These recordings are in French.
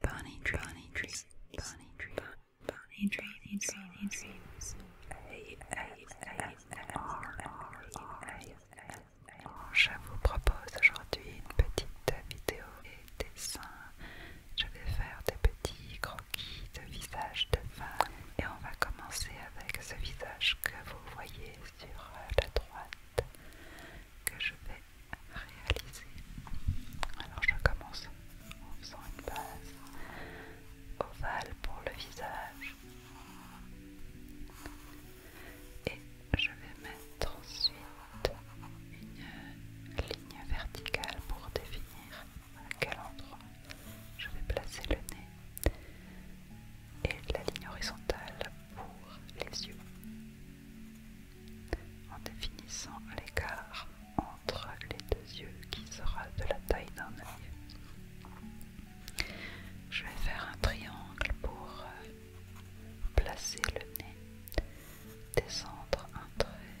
Bonnie Dream Bonnie Dream Bonnie Je vous propose aujourd'hui une petite vidéo et dessin. Je vais faire des petits croquis de visage de femme et on va commencer avec ce visage que vous voyez sur la droite que je vais réaliser. Alors je commence en faisant une base ovale pour le visage et je vais mettre ensuite une ligne verticale pour définir à quel endroit je vais placer le nez et la ligne horizontale pour les yeux en définissant l'écart entre les deux yeux qui sera de la taille d'un œil. Je vais faire un triangle pour euh, placer le nez, descendre un trait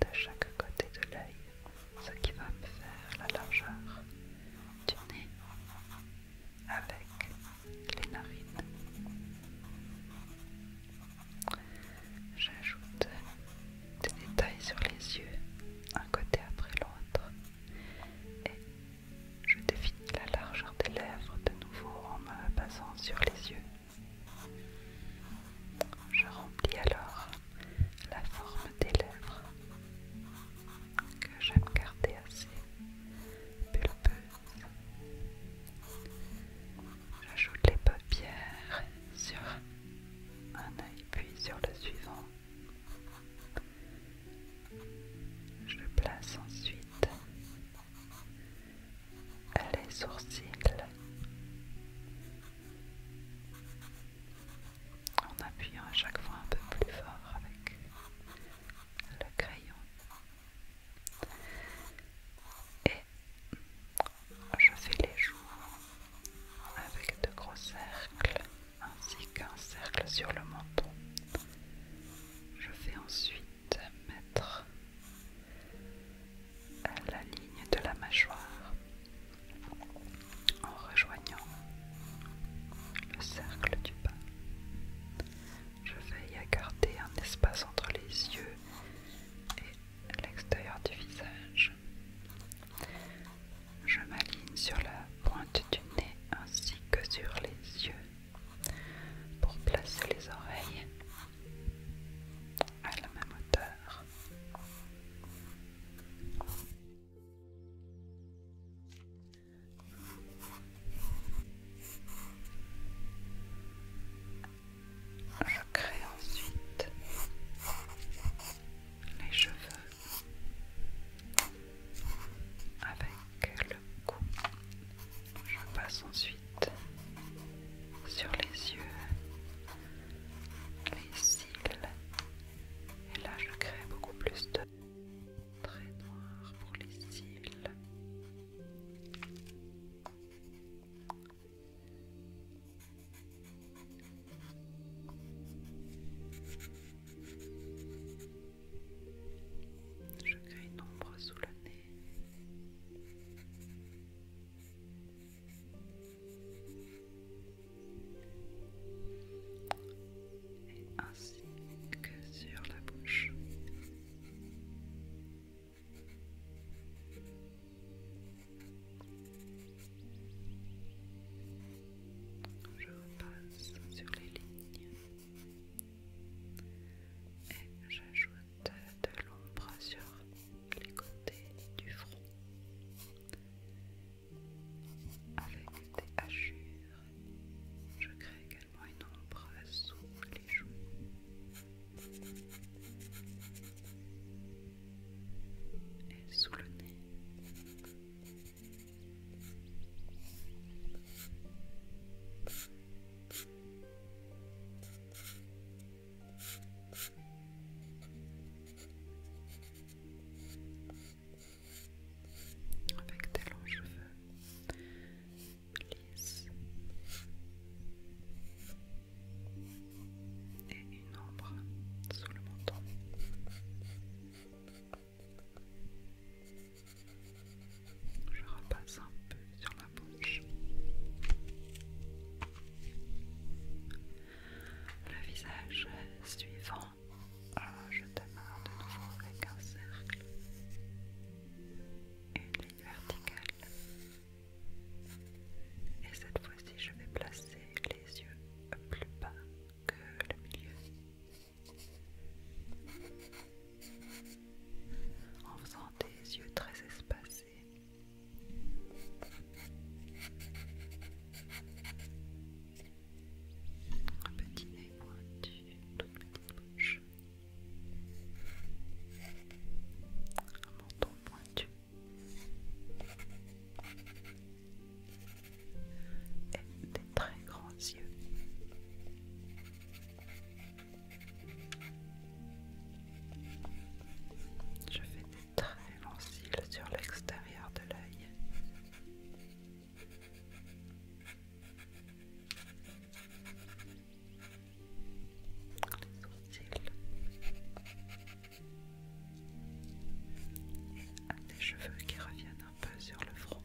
de chaque côté de l'œil, ce qui va me faire la largeur du nez avec les narines. J'ajoute des détails sur les yeux, un côté après l'autre, et je définis la largeur des lèvres de nouveau en me basant sur les yeux. Je remplis alors la forme des lèvres que j'aime garder assez pulpeuse J'ajoute les paupières sur un œil puis sur le suivant. Je place ensuite les sourcils. En appuyant à chaque fois un peu plus fort avec le crayon. Et je fais les joues avec de gros cercles ainsi qu'un cercle sur le menton. Je vais ensuite mettre la ligne de la mâchoire en rejoignant le cercle du bas. Je veille à garder un espace entre les yeux et l'extérieur du visage. Je m'aligne sur la pointe du nez ainsi que sur les yeux pour placer les oreilles à la même hauteur. Je crée ensuite les cheveux avec le cou. Je passe ensuite sur les yeux, les cils. Et là, je crée beaucoup plus de traits noirs pour les cils je crée une ombre sous le nez. Et ainsi que sur la bouche. Je repasse sur les lignes et j'ajoute de l'ombre sur les côtés du front avec des hachures. Je crée une ombre sous les joues. Et sous le nez avec des longs cheveux lisses et une ombre sous le menton. Je repasse un peu sur la bouche. Le visage suivant alors ah, je démarre de nouveau avec un cercle, et une ligne verticale. Et cette fois-ci, je vais placer les yeux plus bas que le milieu. En faisant des yeux très espacés un petit nez pointu, une petite bouche, un menton pointu et des très grands yeux. Je fais des très longs cils sur l'extérieur de l'œil des cheveux qui reviennent un peu sur le front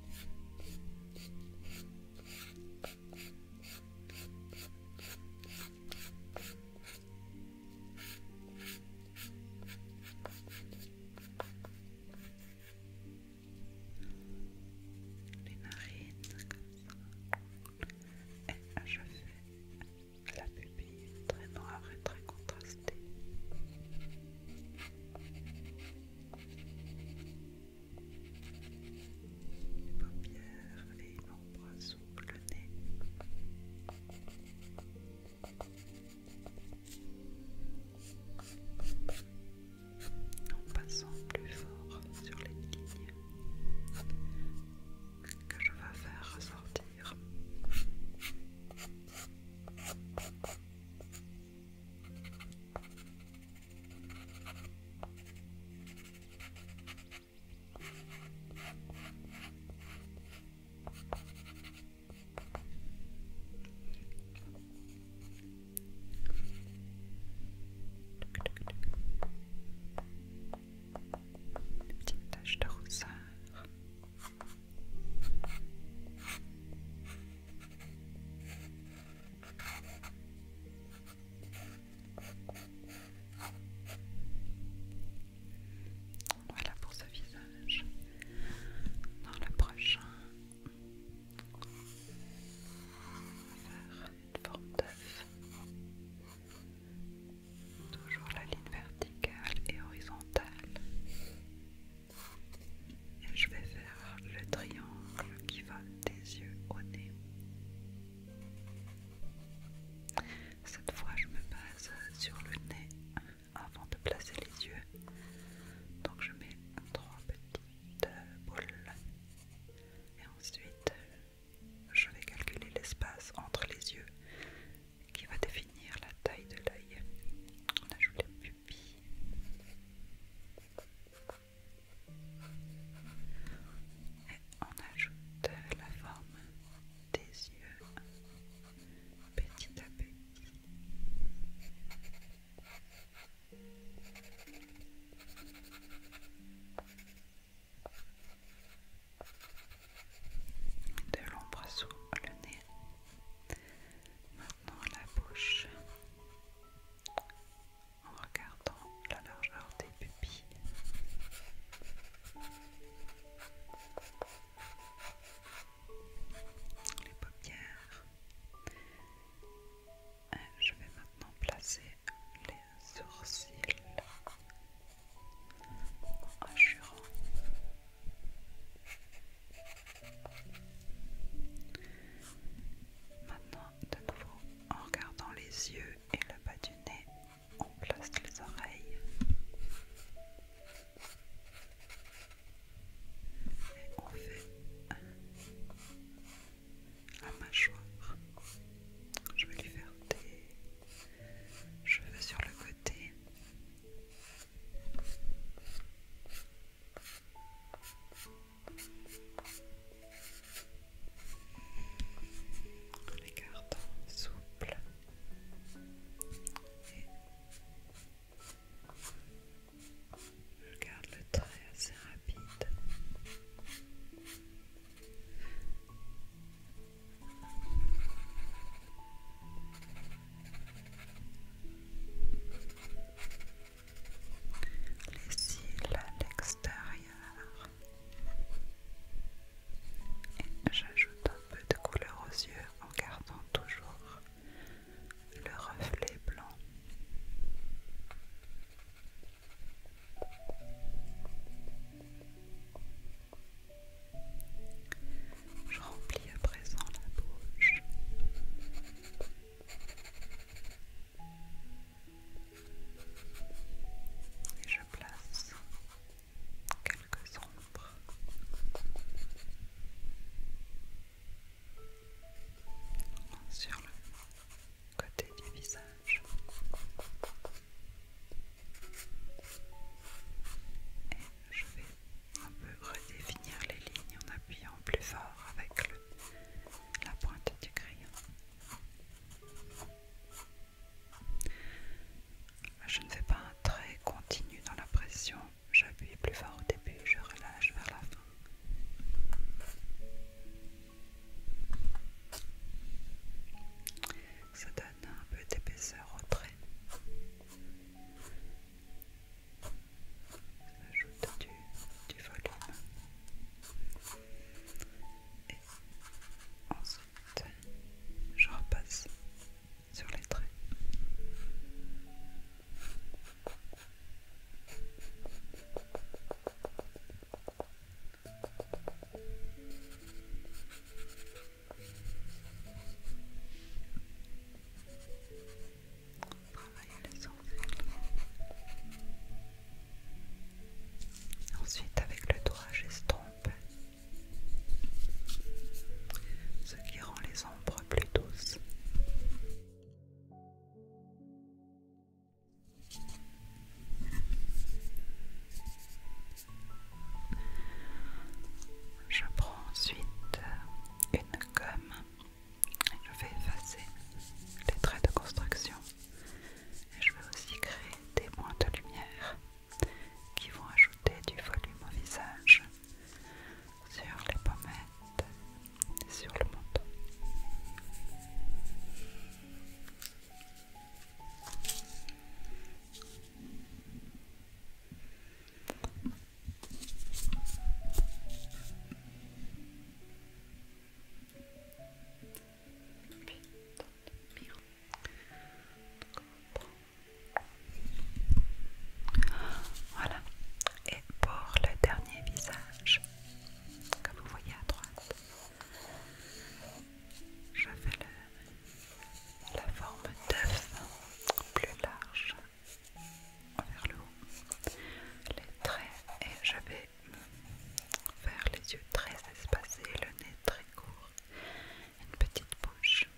les narines comme ça. Et ah, je la pupille très noire et très contrastée. Les paupières et l'ombre sous le nez en passant plus fort sur les lignes que je vais faire ressortir. Une petite taches de rousseur. Voilà pour ce visage. Dans le prochain, faire une forme d'œuf. Toujours la ligne verticale et horizontale. Et je vais faire le triangle qui va des yeux au nez. Cette fois, je me base sur le nez avant de placer les yeux. Donc je mets trois petites boules. Et ensuite, je vais calculer l'espace entre les yeux qui va définir la taille de l'œil. On ajoute les pupilles. Et on ajoute la forme des yeux petit à petit. De l'ombre sous le nez, maintenant la bouche, en regardant la largeur des pupilles les paupières. Euh, je vais maintenant placer les sourcils en jurant Maintenant, de nouveau, en regardant les yeux et le bas du nez, on place les oreilles. Et on fait la mâchoire. Je vais lui faire des cheveux sur le côté. Les souple je garde le trait assez rapide. Les cils à l'extérieur. j'ajoute un peu de couleur aux yeux en gardant toujours le reflet blanc. Je remplis à présent la bouche. Et je place quelques ombres. Sur le côté du visage et je vais un peu redéfinir les lignes en appuyant plus fort avec la pointe du crayon. Je ne fais pas trait continu dans la pression. J'appuie plus fort au début, je relâche vers la fin. Ça donne un peu d'épaisseur au trait. J'ajoute du volume. Et ensuite, je repasse sur les traits. Ensuite, avec le doigt, j'estompe ce qui rend les ombres plus douces. Je prends ensuite une gomme et je vais effacer les traits de construction je vais aussi créer des points de lumière qui vont ajouter du volume au visage, sur les pommettes et sur le menton. Voilà. Et pour le dernier visage, comme vous voyez à droite, je fais la forme d'œuf plus large vers le haut. Les traits et je vais faire les yeux très espacés, le nez très court une petite bouche.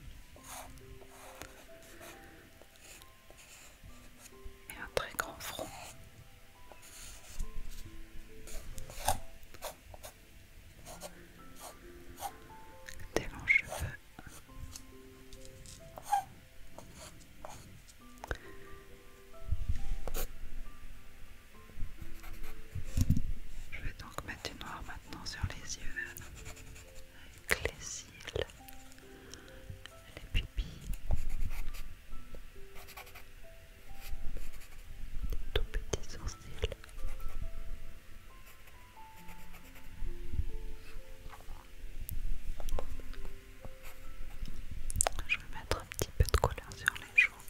Et un très grand front. Des longs cheveux. Je vais donc mettre du noir maintenant maintenant sur les yeux, avec les cils, les pupilles, les tout petits sourcils. Je vais mettre un petit peu de couleur sur les joues.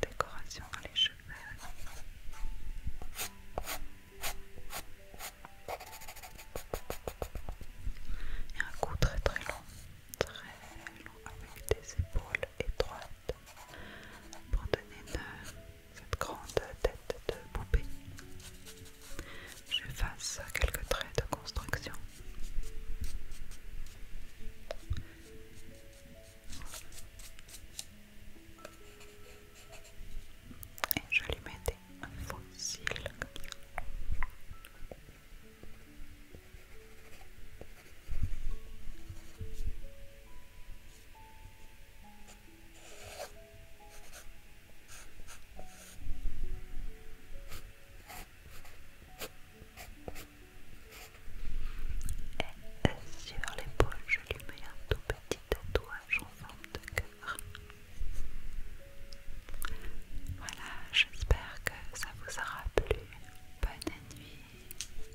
Décoration à les cheveux. Et un coup très très long, très long avec des épaules étroites pour donner une, euh, cette grande tête de poupée je fais quelques traits de construction. Et je lui mets des faux et sur l'épaule, je lui mets un tout petit tatouage en forme de cœur. Voilà, j'espère que ça vous aura plu. Bonne nuit.